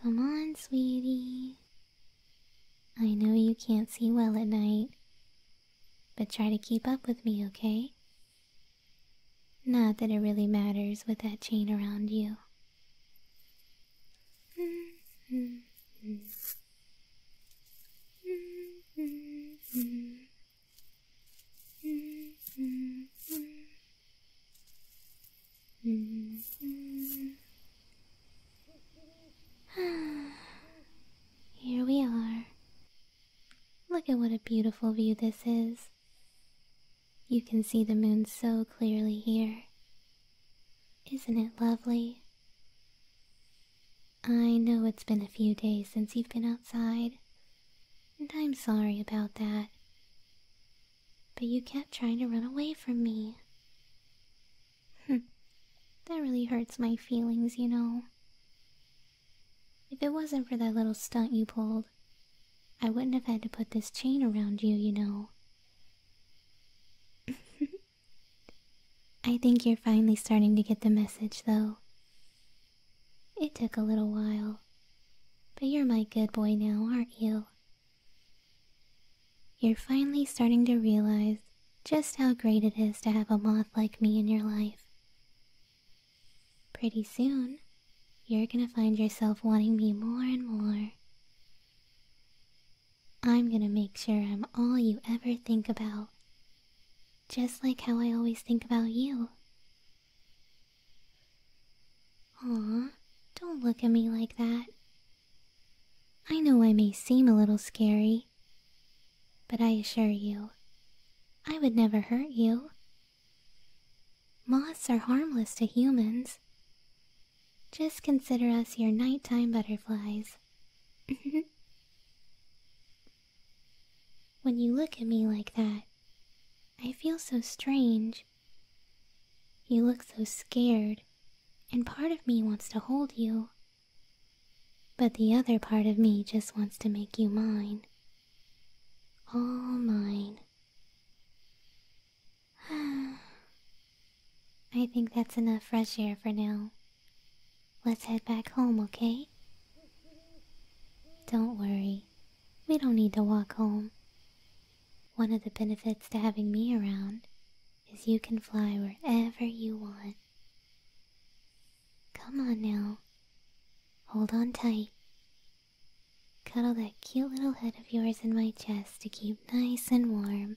Come on, sweetie. I know you can't see well at night, but try to keep up with me, okay? Not that it really matters with that chain around you. Here we are, Look at what a beautiful view this is. You can see the moon so clearly here. Isn't it lovely? I know it's been a few days since you've been outside, and I'm sorry about that. But you kept trying to run away from me. Hmm. that really hurts my feelings, you know. If it wasn't for that little stunt you pulled, I wouldn't have had to put this chain around you, you know. I think you're finally starting to get the message, though. It took a little while, but you're my good boy now, aren't you? You're finally starting to realize just how great it is to have a moth like me in your life. Pretty soon, you're gonna find yourself wanting me more and more. I'm gonna make sure I'm all you ever think about, just like how I always think about you. Aw, don't look at me like that. I know I may seem a little scary, but I assure you, I would never hurt you. Moths are harmless to humans. Just consider us your nighttime butterflies. when you look at me like that, I feel so strange. You look so scared, and part of me wants to hold you. But the other part of me just wants to make you mine. All mine. I think that's enough fresh air for now. Let's head back home, okay? Don't worry. We don't need to walk home. One of the benefits to having me around is you can fly wherever you want. Come on now. Hold on tight. Cuddle that cute little head of yours in my chest to keep nice and warm.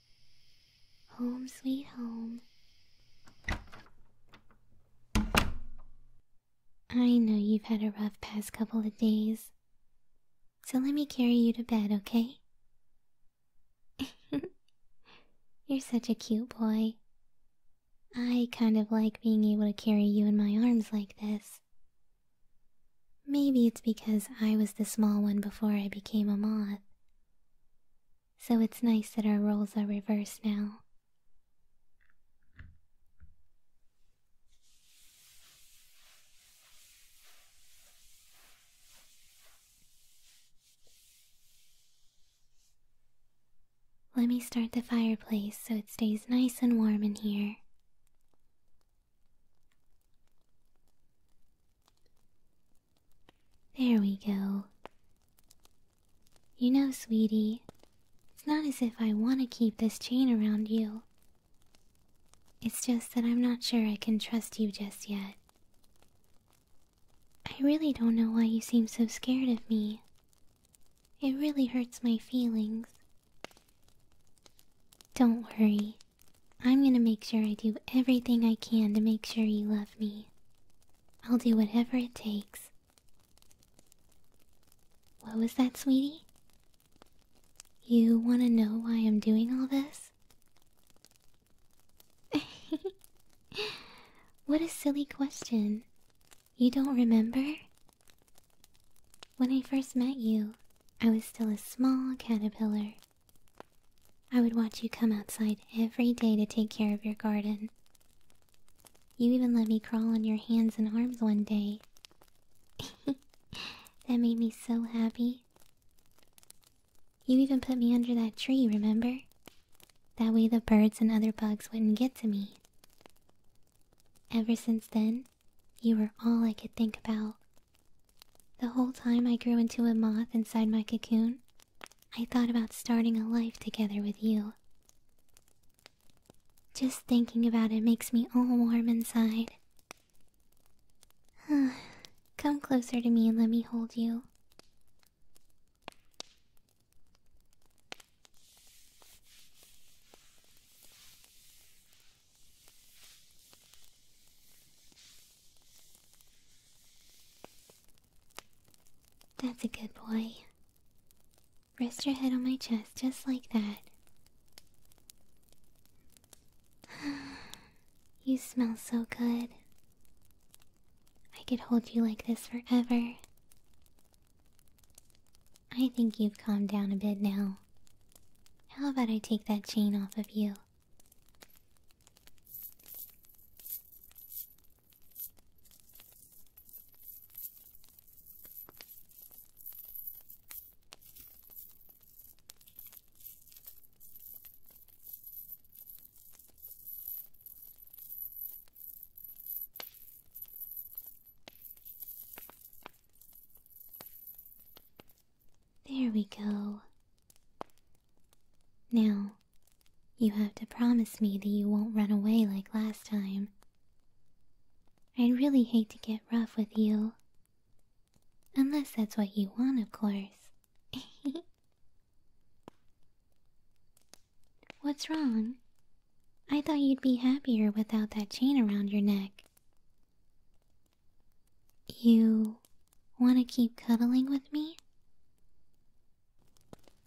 Home, sweet home. I know you've had a rough past couple of days, so let me carry you to bed, okay? You're such a cute boy. I kind of like being able to carry you in my arms like this. Maybe it's because I was the small one before I became a moth. So it's nice that our roles are reversed now. Let me start the fireplace so it stays nice and warm in here. There we go. You know, sweetie, it's not as if I want to keep this chain around you. It's just that I'm not sure I can trust you just yet. I really don't know why you seem so scared of me. It really hurts my feelings. Don't worry. I'm gonna make sure I do everything I can to make sure you love me. I'll do whatever it takes. What was that, sweetie? You wanna know why I'm doing all this? what a silly question. You don't remember? When I first met you, I was still a small caterpillar. I would watch you come outside every day to take care of your garden. You even let me crawl on your hands and arms one day. that made me so happy. You even put me under that tree, remember? That way the birds and other bugs wouldn't get to me. Ever since then, you were all I could think about. The whole time I grew into a moth inside my cocoon, I thought about starting a life together with you. Just thinking about it makes me all warm inside. Come closer to me and let me hold you. That's a good boy. Rest your head on my chest just like that. you smell so good. I could hold you like this forever. I think you've calmed down a bit now. How about I take that chain off of you? There we go. Now, you have to promise me that you won't run away like last time. I'd really hate to get rough with you. Unless that's what you want, of course. What's wrong? I thought you'd be happier without that chain around your neck. You want to keep cuddling with me?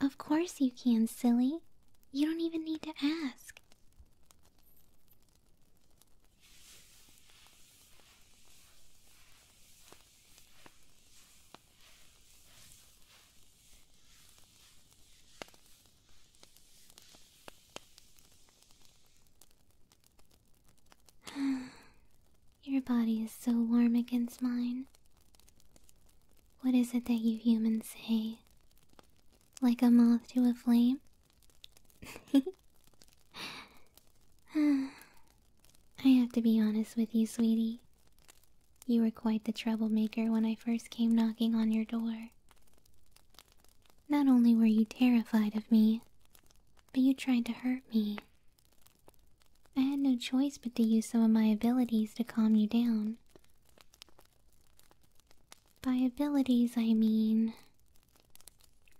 Of course you can, silly. You don't even need to ask. Your body is so warm against mine. What is it that you humans say? Like a moth to a flame? I have to be honest with you, sweetie. You were quite the troublemaker when I first came knocking on your door. Not only were you terrified of me, but you tried to hurt me. I had no choice but to use some of my abilities to calm you down. By abilities, I mean.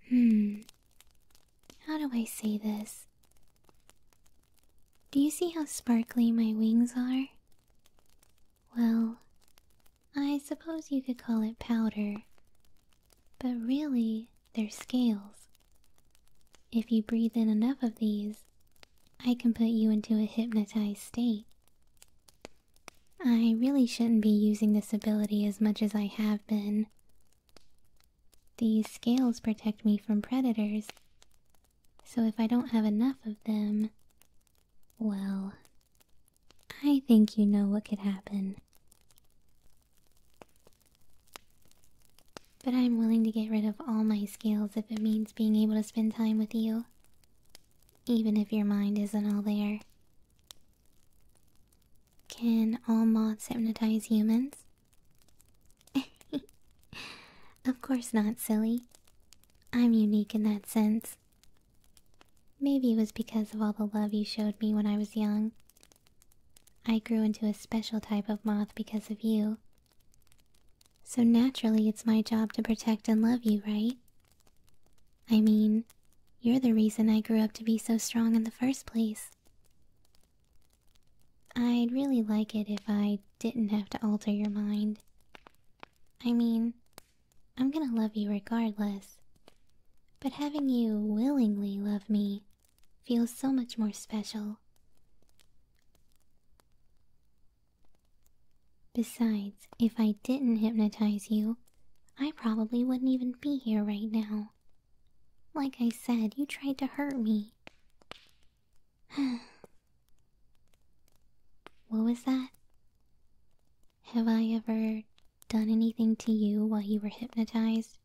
Hmm. How do I say this? Do you see how sparkly my wings are? Well, I suppose you could call it powder, but really they're scales. If you breathe in enough of these, I can put you into a hypnotized state. I really shouldn't be using this ability as much as I have been. These scales protect me from predators, so if I don't have enough of them, well, I think you know what could happen. But I'm willing to get rid of all my scales if it means being able to spend time with you. Even if your mind isn't all there. Can all moths hypnotize humans? of course not, silly. I'm unique in that sense. Maybe it was because of all the love you showed me when I was young. I grew into a special type of moth because of you. So naturally, it's my job to protect and love you, right? I mean, you're the reason I grew up to be so strong in the first place. I'd really like it if I didn't have to alter your mind. I mean, I'm gonna love you regardless. But having you willingly love me feels so much more special. Besides, if I didn't hypnotize you, I probably wouldn't even be here right now. Like I said, you tried to hurt me. what was that? Have I ever done anything to you while you were hypnotized?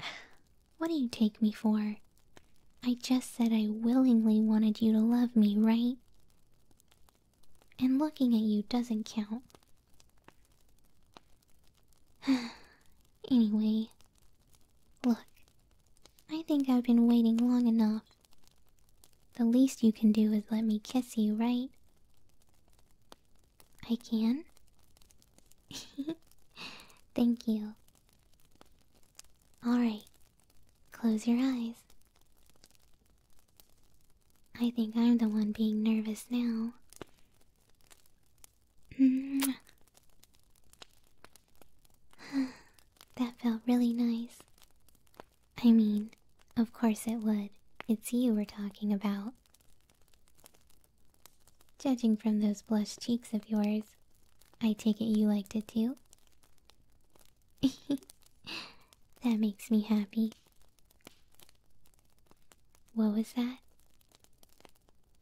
What do you take me for? I just said I willingly wanted you to love me, right? And looking at you doesn't count. anyway, Look, I think I've been waiting long enough. The least you can do is let me kiss you, right? I can? Thank you. Alright, close your eyes. I think I'm the one being nervous now. Mm. that felt really nice. I mean, of course it would. It's you we're talking about. Judging from those blushed cheeks of yours, I take it you liked it too? that makes me happy. What was that?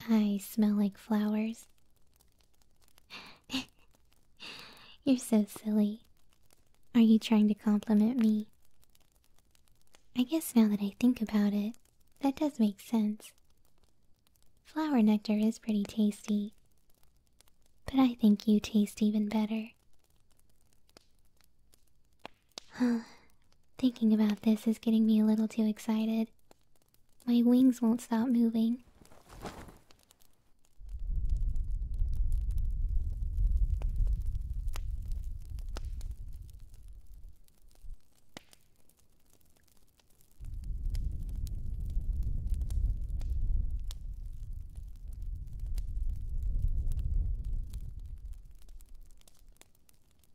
I smell like flowers, you're so silly. Are you trying to compliment me? I guess now that I think about it, that does make sense. Flower nectar is pretty tasty. But I think you taste even better. Thinking about this is getting me a little too excited. My wings won't stop moving.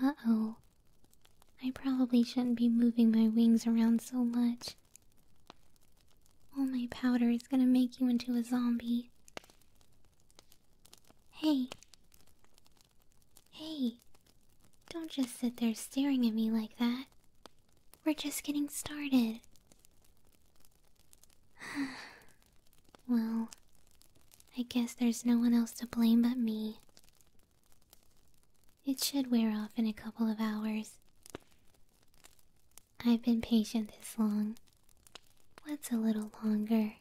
Uh oh. I probably shouldn't be moving my wings around so much. All my powder is gonna make you into a zombie. Hey. Hey. Don't just sit there staring at me like that. We're just getting started. well, I guess there's no one else to blame but me. It should wear off in a couple of hours. I've been patient this long. What's a little longer?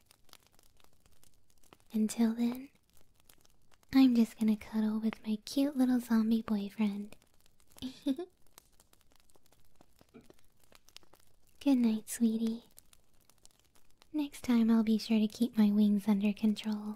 Until then, I'm just gonna cuddle with my cute little zombie boyfriend. Good night, sweetie. Next time I'll be sure to keep my wings under control.